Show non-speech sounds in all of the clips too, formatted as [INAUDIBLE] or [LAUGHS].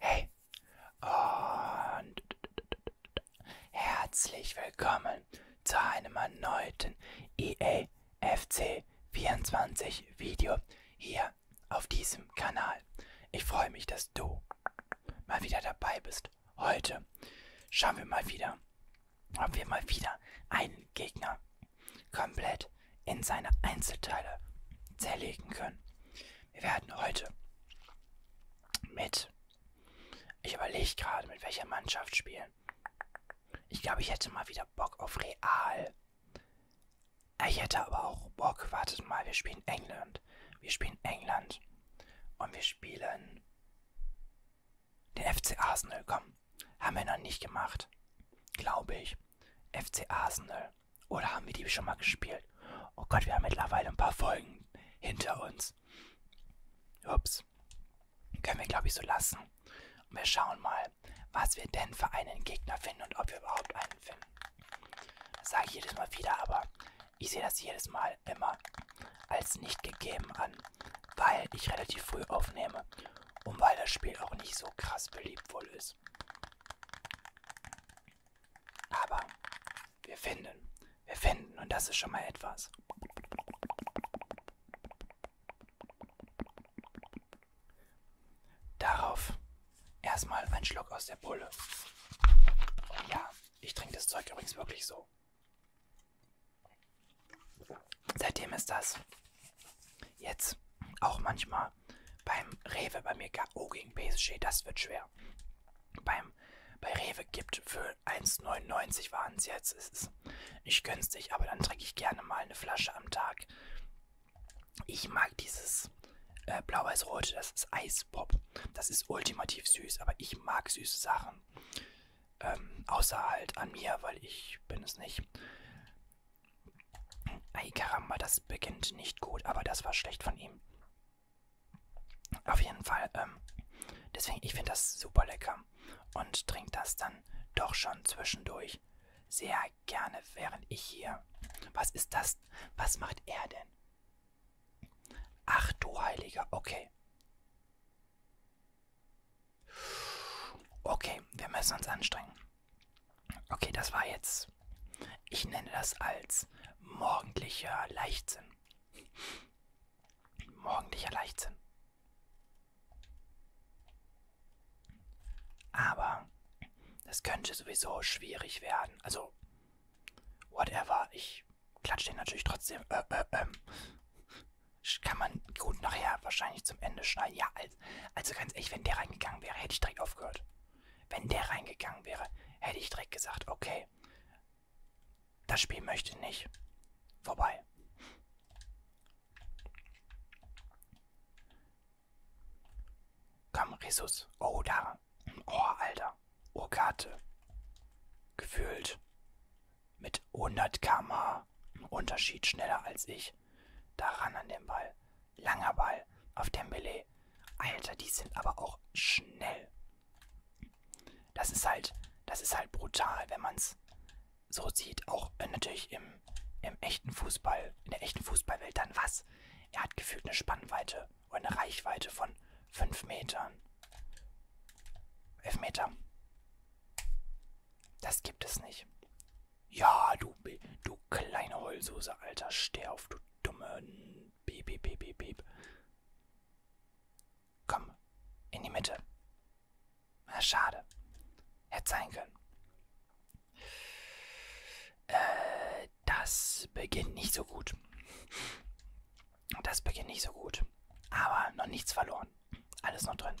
Hey und herzlich willkommen zu einem erneuten EAFC 24 Video hier auf diesem Kanal. Ich freue mich, dass du mal wieder dabei bist. Heute schauen wir mal wieder, ob wir mal wieder einen Gegner komplett in seine Einzelteile zerlegen können. Wir werden heute mit, ich überlege gerade, mit welcher Mannschaft spielen. Ich glaube, ich hätte mal wieder Bock auf Real. Ich hätte aber auch Bock, wartet mal, wir spielen England. Wir spielen England. Und wir spielen den FC Arsenal. Komm, haben wir noch nicht gemacht. Glaube ich. FC Arsenal. Oder haben wir die schon mal gespielt? Oh Gott, wir haben mittlerweile ein paar Folgen hinter uns. Ups. Können wir, glaube ich, so lassen. Und wir schauen mal, was wir denn für einen Gegner finden und ob wir überhaupt einen finden. Das sage ich jedes Mal wieder, aber ich sehe das jedes Mal immer als nicht gegeben an, weil ich relativ früh aufnehme und weil das Spiel auch nicht so krass beliebt wohl ist. Aber wir finden, wir finden und das ist schon mal etwas. Darauf erstmal ein Schluck aus der Pulle. Und ja, ich trinke das Zeug übrigens wirklich so. Seitdem ist das jetzt auch manchmal beim Rewe bei mir oh, gegen PSG, das wird schwer. Beim bei Rewe gibt für 1,99 waren es jetzt. Es ist nicht günstig, aber dann trinke ich gerne mal eine Flasche am Tag. Ich mag dieses äh, blau-weiß-rote, das ist Eispop. Das ist ultimativ süß, aber ich mag süße Sachen. Ähm, außer halt an mir, weil ich bin es nicht. Ei, Karamba, das beginnt nicht gut, aber das war schlecht von ihm. Auf jeden Fall, ähm, deswegen, ich finde das super lecker und trinke das dann doch schon zwischendurch sehr gerne, während ich hier. Was ist das? Was macht er denn? Ach du Heiliger, okay. Okay, wir müssen uns anstrengen. Okay, das war jetzt. Ich nenne das als morgendlicher Leichtsinn. Morgendlicher Leichtsinn. Aber das könnte sowieso schwierig werden. Also, whatever. Ich klatsche den natürlich trotzdem. Äh, äh, äh kann man gut nachher wahrscheinlich zum Ende schneiden. Ja, also ganz ehrlich, wenn der reingegangen wäre, hätte ich direkt aufgehört. Wenn der reingegangen wäre, hätte ich direkt gesagt, okay, das Spiel möchte ich nicht. Vorbei. Komm, Resus. Oh, da. Oh, Alter. Urkarte. Gefühlt. Mit 100 km war im Unterschied schneller als ich. Daran an dem Ball. Langer Ball auf Dembele. Alter, die sind aber auch schnell. Das ist halt, das ist halt brutal, wenn man es so sieht. Auch äh, natürlich im, im echten Fußball, in der echten Fußballwelt dann was. Er hat gefühlt eine Spannweite oder eine Reichweite von 5 Metern. 11 Meter. Das gibt es nicht. Ja, du, du kleine Heulsoße, Alter, steh auf, du dumme. Beep, beep, beep, beep, beep. Komm, in die Mitte. Na, schade. Hätte sein können. Äh, das beginnt nicht so gut. Das beginnt nicht so gut. Aber noch nichts verloren. Alles noch drin.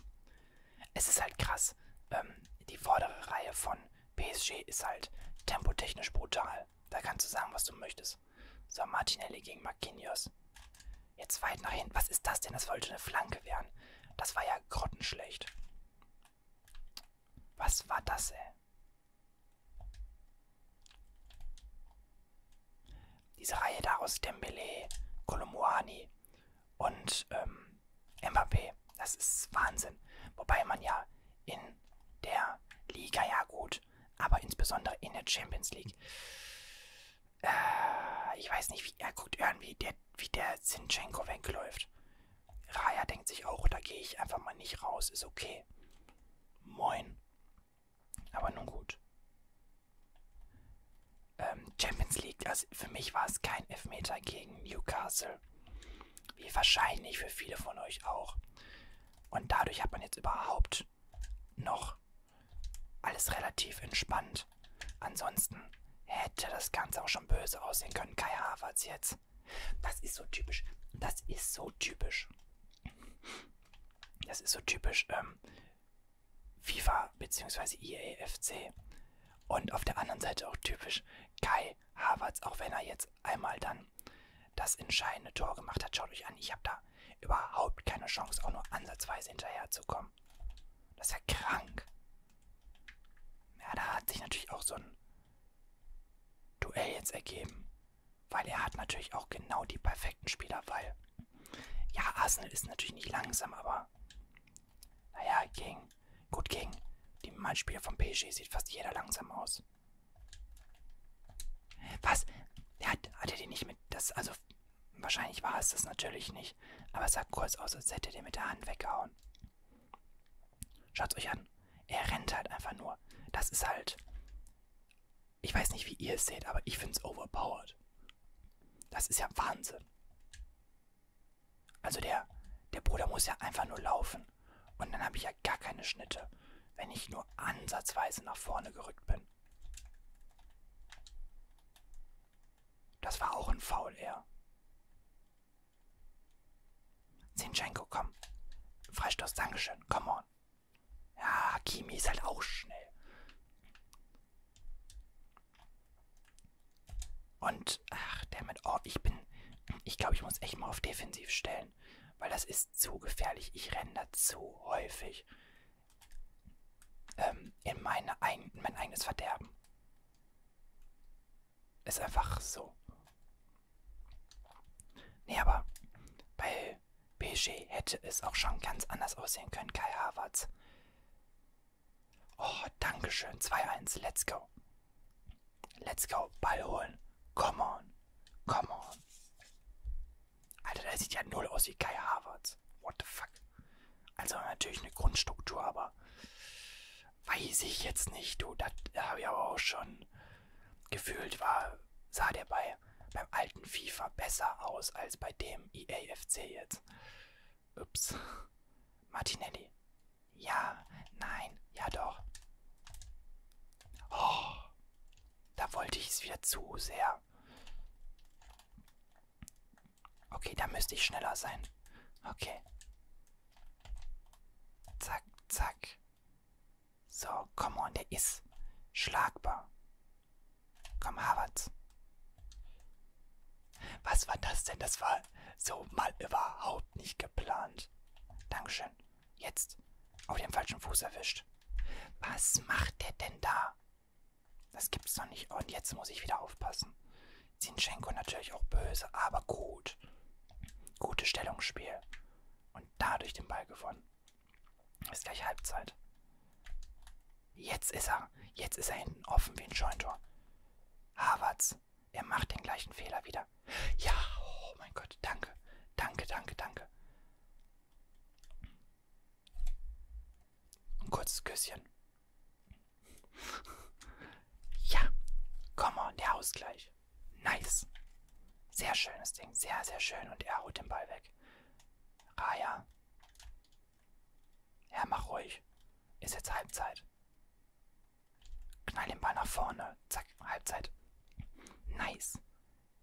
Es ist halt krass. Ähm, die vordere Reihe von PSG ist halt tempotechnisch brutal. Da kannst du sagen, was du möchtest. So, Martinelli gegen Marquinhos. Jetzt weit nach hinten. Was ist das denn? Das wollte eine Flanke werden. Das war ja grottenschlecht. Was war das, ey? Diese Reihe da aus Dembele, Kolomouani und ähm, Mbappé. Das ist Wahnsinn. Wobei man ja in der Liga ja gut, aber insbesondere in der Champions League. Äh, ich weiß nicht, wie er guckt irgendwie, der, wie der Zinchenko wegläuft. Raya denkt sich auch, da gehe ich einfach mal nicht raus, ist okay. Moin. Aber nun gut ähm, Champions League. Also für mich war es kein Elfmeter gegen Newcastle. Wie wahrscheinlich für viele von euch auch. Und dadurch hat man jetzt überhaupt noch alles relativ entspannt. Ansonsten hätte das Ganze auch schon böse aussehen können. Kai Havertz jetzt. Das ist so typisch. Das ist so typisch. Das ist so typisch ähm, FIFA bzw. EAFC. Und auf der anderen Seite auch typisch Kai Havertz, auch wenn er jetzt einmal dann das entscheidende Tor gemacht hat. Schaut euch an, ich habe da überhaupt keine Chance, auch nur ansatzweise hinterherzukommen. Das ist ja krank. Ja, da hat sich natürlich auch so ein Duell jetzt ergeben. Weil er hat natürlich auch genau die perfekten Spieler, weil ja, Arsenal ist natürlich nicht langsam, aber naja, ging. Gut ging. Die Mannspieler vom PSG sieht fast jeder langsam aus. Was? Der hat, hat er die nicht mit. Das, also, wahrscheinlich war es das natürlich nicht. Aber es sah kurz aus, als hätte der mit der Hand weggehauen. Schaut euch an. Er rennt halt einfach nur. Das ist halt. Ich weiß nicht, wie ihr es seht, aber ich finde es overpowered. Das ist ja Wahnsinn. Also der, der Bruder muss ja einfach nur laufen. Und dann habe ich ja gar keine Schnitte, wenn ich nur ansatzweise nach vorne gerückt bin. Das war auch ein Foul, er. Zinchenko, komm. Freistoß, Dankeschön, come on. Ja, Kimi ist halt auch schnell. Und, ach, damit, oh, ich bin, ich glaube, ich muss echt mal auf defensiv stellen, weil das ist zu gefährlich. Ich renne da zu häufig ähm, in, meine, in mein eigenes Verderben. Ist einfach so. Nee, aber bei BG hätte es auch schon ganz anders aussehen können. Kai Havertz Oh, Dankeschön. 2-1. Let's go. Let's go. Ball holen. Come on. Come on. Alter, der sieht ja null aus wie Kai Havertz. What the fuck? Also natürlich eine Grundstruktur, aber weiß ich jetzt nicht, du. Das habe ich aber auch schon gefühlt, war, sah der bei beim alten FIFA besser aus als bei dem EAFC jetzt. Ups. Martinelli. Ja, nein, ja doch. Oh, da wollte ich es wieder zu sehr. Okay, da müsste ich schneller sein. Okay. Zack, zack. So, komm on, der ist schlagbar. Komm, Harvard. Was war das denn? Das war so mal überhaupt nicht geplant. Dankeschön. Jetzt. Auf den falschen Fuß erwischt. Was macht der denn da? Das gibt's doch nicht. Und jetzt muss ich wieder aufpassen. Zinchenko natürlich auch böse, aber gut. Gutes Stellungsspiel. Und dadurch den Ball gewonnen. Ist gleich Halbzeit. Jetzt ist er. Jetzt ist er hinten offen wie ein Scheuntor. Havertz. Er macht den gleichen Fehler wieder. Ja, oh mein Gott, danke. Danke, danke, danke. Ein kurzes Küsschen. ja, komm on, der Ausgleich. Nice. Sehr schönes Ding, sehr, sehr schön. Und er haut den Ball weg. Raya, ja, mach ruhig. Ist jetzt Halbzeit. Knall den Ball nach vorne. Zack, Halbzeit. Nice.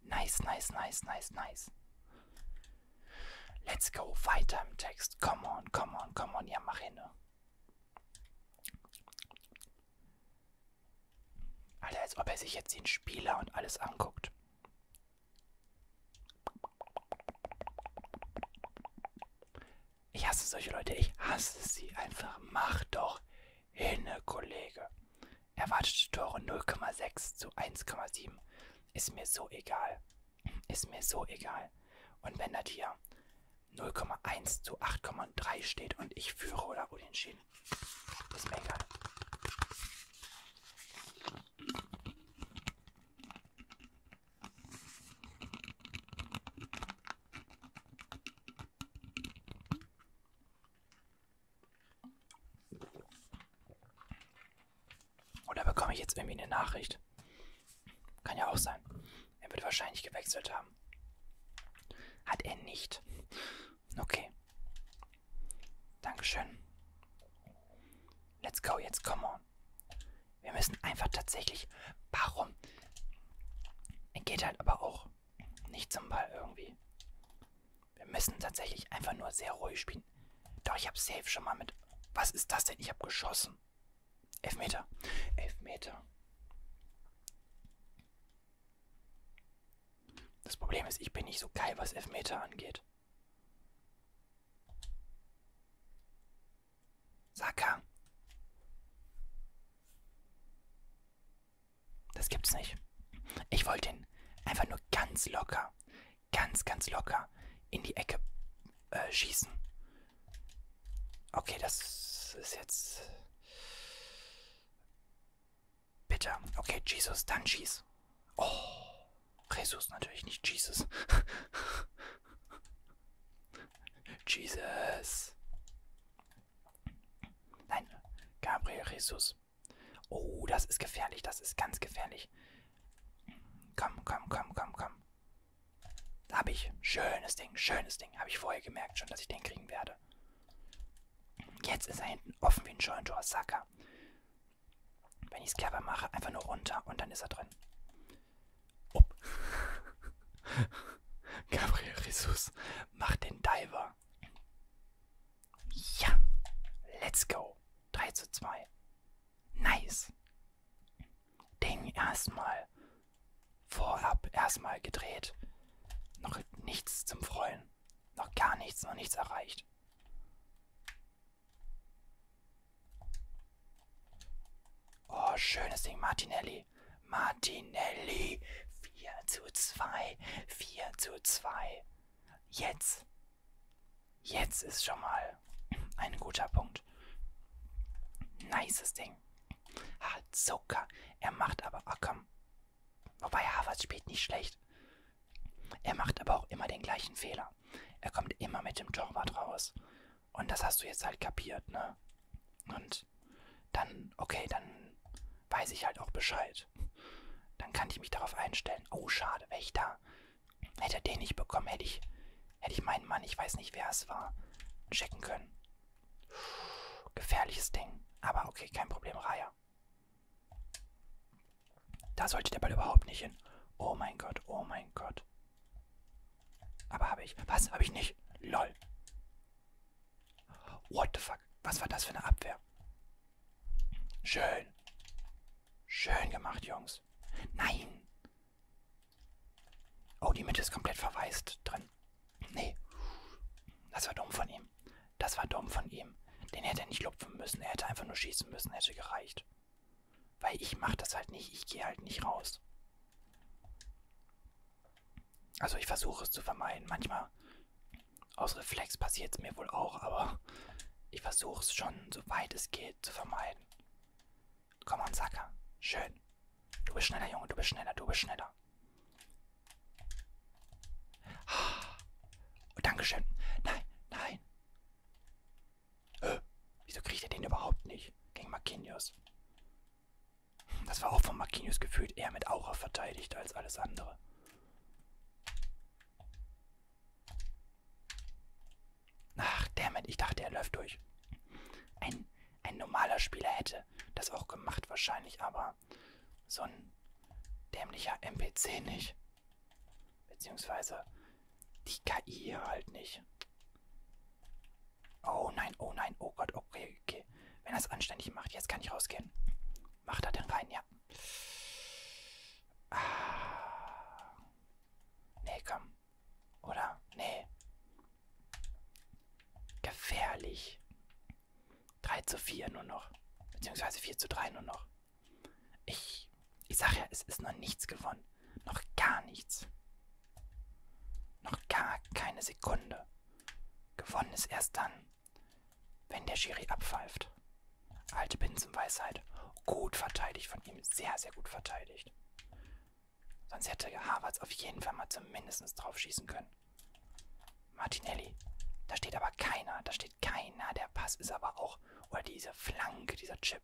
Nice, nice, nice, nice, nice. Let's go. Weiter im Text. Come on, come on, come on. Ja, mach hin. Alter, als ob er sich jetzt den Spieler und alles anguckt. Ich hasse solche Leute, ich hasse sie einfach. Mach doch hinne, Kollege. Erwartete Tore 0,6 zu 1,7. Ist mir so egal. Ist mir so egal. Und wenn das hier 0,1 zu 8,3 steht und ich führe oder unentschieden, ist mir egal. Oder bekomme ich jetzt irgendwie eine Nachricht? Kann ja auch sein. Er wird wahrscheinlich gewechselt haben. Hat er nicht. Okay. Dankeschön. Let's go, jetzt komm on schauen. Wir müssen einfach tatsächlich. Warum? Geht halt aber auch nicht zum Ball irgendwie. Wir müssen tatsächlich einfach nur sehr ruhig spielen. Doch, ich habe safe schon mal mit. Was ist das denn? Ich habe geschossen. Elf Meter. Elf Meter. Das Problem ist, ich bin nicht so geil, was Elfmeter angeht. Saka. Das gibt's nicht. Ich wollte ihn einfach nur ganz locker, ganz, ganz locker in die Ecke äh, schießen. Okay, das ist jetzt bitter. Okay, Jesus, dann schieß. Oh. Jesus natürlich nicht Jesus. [LAUGHS] Jesus. Nein, Gabriel Jesus. Oh, das ist gefährlich, das ist ganz gefährlich. Komm, komm, komm, komm, komm. Hab ich. Schönes Ding, schönes Ding. Habe ich vorher gemerkt schon, dass ich den kriegen werde. Jetzt ist er hinten offen wie ein Scheuntor. Sacker wenn ich Skerber mache, einfach nur runter und dann ist er drin. Oh. [LAUGHS] Gabriel Jesus, mach den Diver. Ja, let's go. 3 zu 2. Nice. Ding erstmal vorab erstmal gedreht. Noch nichts zum Freuen. Noch gar nichts, noch nichts erreicht. Oh, schönes Ding, Martinelli. Martinelli. 4 zu 2. 4 zu 2. Jetzt. Jetzt ist schon mal ein guter Punkt. Nices Ding. Hazuka. Er macht aber. Oh komm. Wobei Harvard spielt nicht schlecht. Er macht aber auch immer den gleichen Fehler. Er kommt immer mit dem Torwart raus. Und das hast du jetzt halt kapiert, ne? Und dann, okay, dann weiß ich halt auch Bescheid. Dann kann ich mich darauf einstellen. Oh, schade, Wächter. Hätte er den nicht bekommen, hätte ich, hätte ich meinen Mann, ich weiß nicht, wer es war, checken können. Puh, gefährliches Ding. Aber okay, kein Problem, Raya. Da sollte der Ball überhaupt nicht hin. Oh mein Gott, oh mein Gott. Aber habe ich. Was? Habe ich nicht? Lol. What the fuck? Was war das für eine Abwehr? Schön. Schön gemacht, Jungs. Nein. Oh, die Mitte ist komplett verwaist drin. Nee. Das war dumm von ihm. Das war dumm von ihm. Den hätte er nicht lupfen müssen. Er hätte einfach nur schießen müssen. Hätte gereicht. Weil ich mache das halt nicht. Ich gehe halt nicht raus. Also ich versuche es zu vermeiden. Manchmal aus Reflex passiert es mir wohl auch, aber ich versuche es schon, soweit es geht, zu vermeiden. Komm an, Sacker. Schön. Du bist schneller, Junge. Du bist schneller. Du bist schneller. Ah. Oh, Dankeschön. Nein, nein. Äh, wieso kriegt er den überhaupt nicht? Gegen Marquinhos. Das war auch von Marquinhos gefühlt eher mit Aura verteidigt als alles andere. Ach, dammit, ich dachte, er läuft durch. Ein, ein normaler Spieler hätte das auch gemacht wahrscheinlich, aber so ein dämlicher NPC nicht. Beziehungsweise die KI hier halt nicht. Oh nein, oh nein, oh Gott, okay, okay. Wenn er es anständig macht, jetzt kann ich rausgehen. Macht er denn rein, ja. Ah. Nee, komm. Oder? Nee. Gefährlich. 3 zu 4 nur noch. Beziehungsweise 4 zu 3 nur noch. Ich, ich sag ja, es ist noch nichts gewonnen. Noch gar nichts. Noch gar keine Sekunde. Gewonnen ist erst dann, wenn der Schiri abpfeift. Alte Binsenweisheit. Gut verteidigt von ihm. Sehr, sehr gut verteidigt. Sonst hätte Harvards auf jeden Fall mal zumindest drauf schießen können. Martinelli. Da steht aber keiner. Da steht keiner. Der Pass ist aber auch. Oder diese Flanke, dieser Chip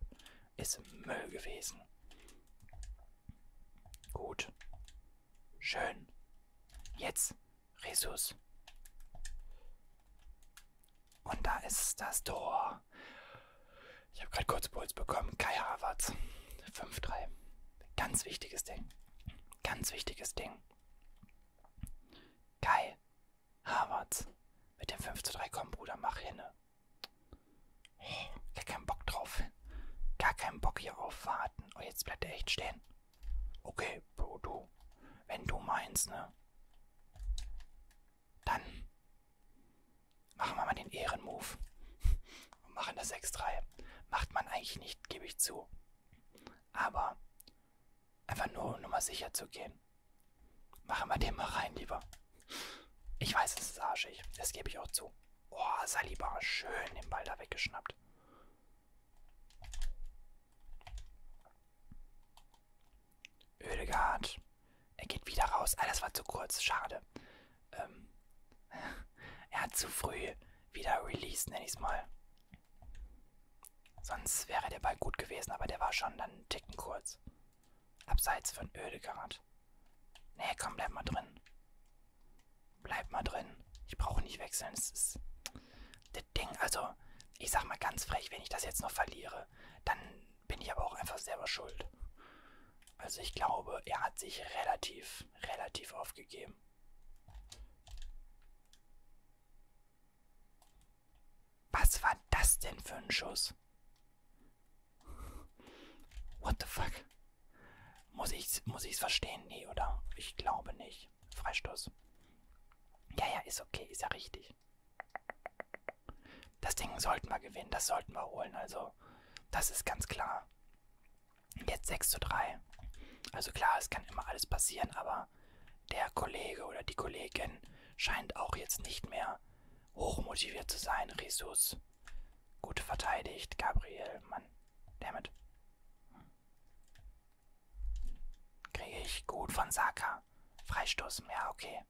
ist Müll gewesen. Gut. Schön. Jetzt. Resus. Und da ist das Tor. Ich habe gerade kurz Puls bekommen. Kai Havertz. 5-3. Ganz wichtiges Ding. Ganz wichtiges Ding. Kai Havertz. Mit dem 5 zu 3 komm, Bruder, mach hinne. Oh, gar keinen Bock drauf. Gar keinen Bock hier auf warten. Oh, jetzt bleibt er echt stehen. Okay, Bro, du. Wenn du meinst, ne? Dann machen wir mal den Ehrenmove. Und machen das 6-3. Macht man eigentlich nicht, gebe ich zu. Aber einfach nur, um mal sicher zu gehen. Machen wir den mal rein, lieber. Ich weiß, es ist arschig. Das gebe ich auch zu. Oh, Saliba, schön den Ball da weggeschnappt. Ödegard. Er geht wieder raus. Ah, das war zu kurz. Schade. Ähm, [LAUGHS] er hat zu früh wieder released, nenne ich es mal. Sonst wäre der Ball gut gewesen, aber der war schon dann einen Ticken kurz. Abseits von Ödegard. Nee, komm, bleib mal drin. Bleib mal drin. Ich brauche nicht wechseln. Es ist. Das Ding, also, ich sag mal ganz frech, wenn ich das jetzt noch verliere, dann bin ich aber auch einfach selber schuld. Also ich glaube, er hat sich relativ, relativ aufgegeben. Was war das denn für ein Schuss? What the fuck? Muss ich's, muss ich's verstehen? Nee, oder? Ich glaube nicht. Freistoß. Ja, ja, ist okay, ist ja richtig. Das Ding sollten wir gewinnen, das sollten wir holen, also das ist ganz klar. Jetzt 6 zu 3. Also klar, es kann immer alles passieren, aber der Kollege oder die Kollegin scheint auch jetzt nicht mehr hochmotiviert zu sein. Ressus. Gut verteidigt. Gabriel, Mann. Damit. Kriege ich gut von Saka. Freistoß. Ja, okay.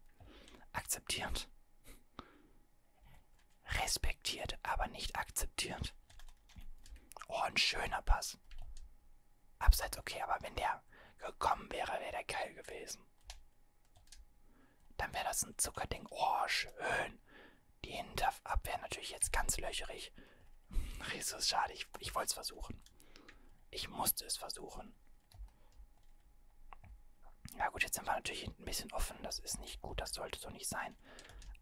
Akzeptiert. Respektiert, aber nicht akzeptiert. Oh, ein schöner Pass. Abseits okay, aber wenn der gekommen wäre, wäre der geil gewesen. Dann wäre das ein Zuckerding. Oh, schön. Die Hinterabwehr natürlich jetzt ganz löcherig. Jesus, schade. Ich, ich wollte es versuchen. Ich musste es versuchen. Ja gut, jetzt sind wir natürlich hinten ein bisschen offen. Das ist nicht gut. Das sollte so nicht sein.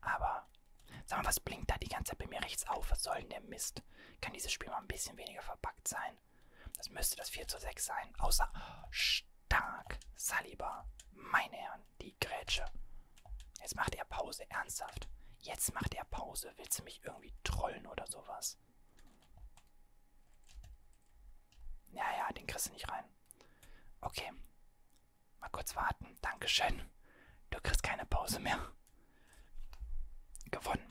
Aber, sag mal, was blinkt da die ganze Zeit bei mir rechts auf? Was soll denn der Mist? Kann dieses Spiel mal ein bisschen weniger verpackt sein? Das müsste das 4 zu 6 sein. Außer stark Saliba. Meine Herren, die Grätsche. Jetzt macht er Pause, ernsthaft. Jetzt macht er Pause. Willst du mich irgendwie trollen oder sowas? Ja, ja, den kriegst du nicht rein. Okay. Mal kurz warten. Dankeschön. Du kriegst keine Pause mehr. Gewonnen.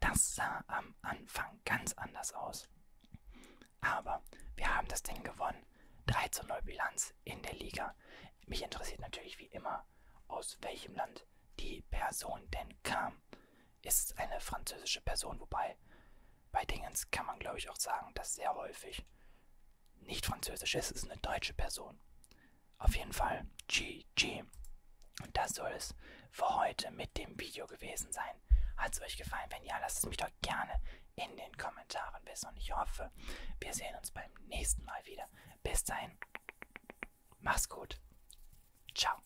Das sah am Anfang ganz anders aus. Aber wir haben das Ding gewonnen. 3 zu 0 Bilanz in der Liga. Mich interessiert natürlich wie immer, aus welchem Land die Person denn kam. Ist eine französische Person, wobei bei Dingens kann man glaube ich auch sagen, dass sehr häufig nicht französisch ist, ist eine deutsche Person. Auf jeden Fall GG. Und das soll es für heute mit dem Video gewesen sein. Hat es euch gefallen? Wenn ja, lasst es mich doch gerne in den Kommentaren wissen. Und ich hoffe, wir sehen uns beim nächsten Mal wieder. Bis dahin, mach's gut. Ciao.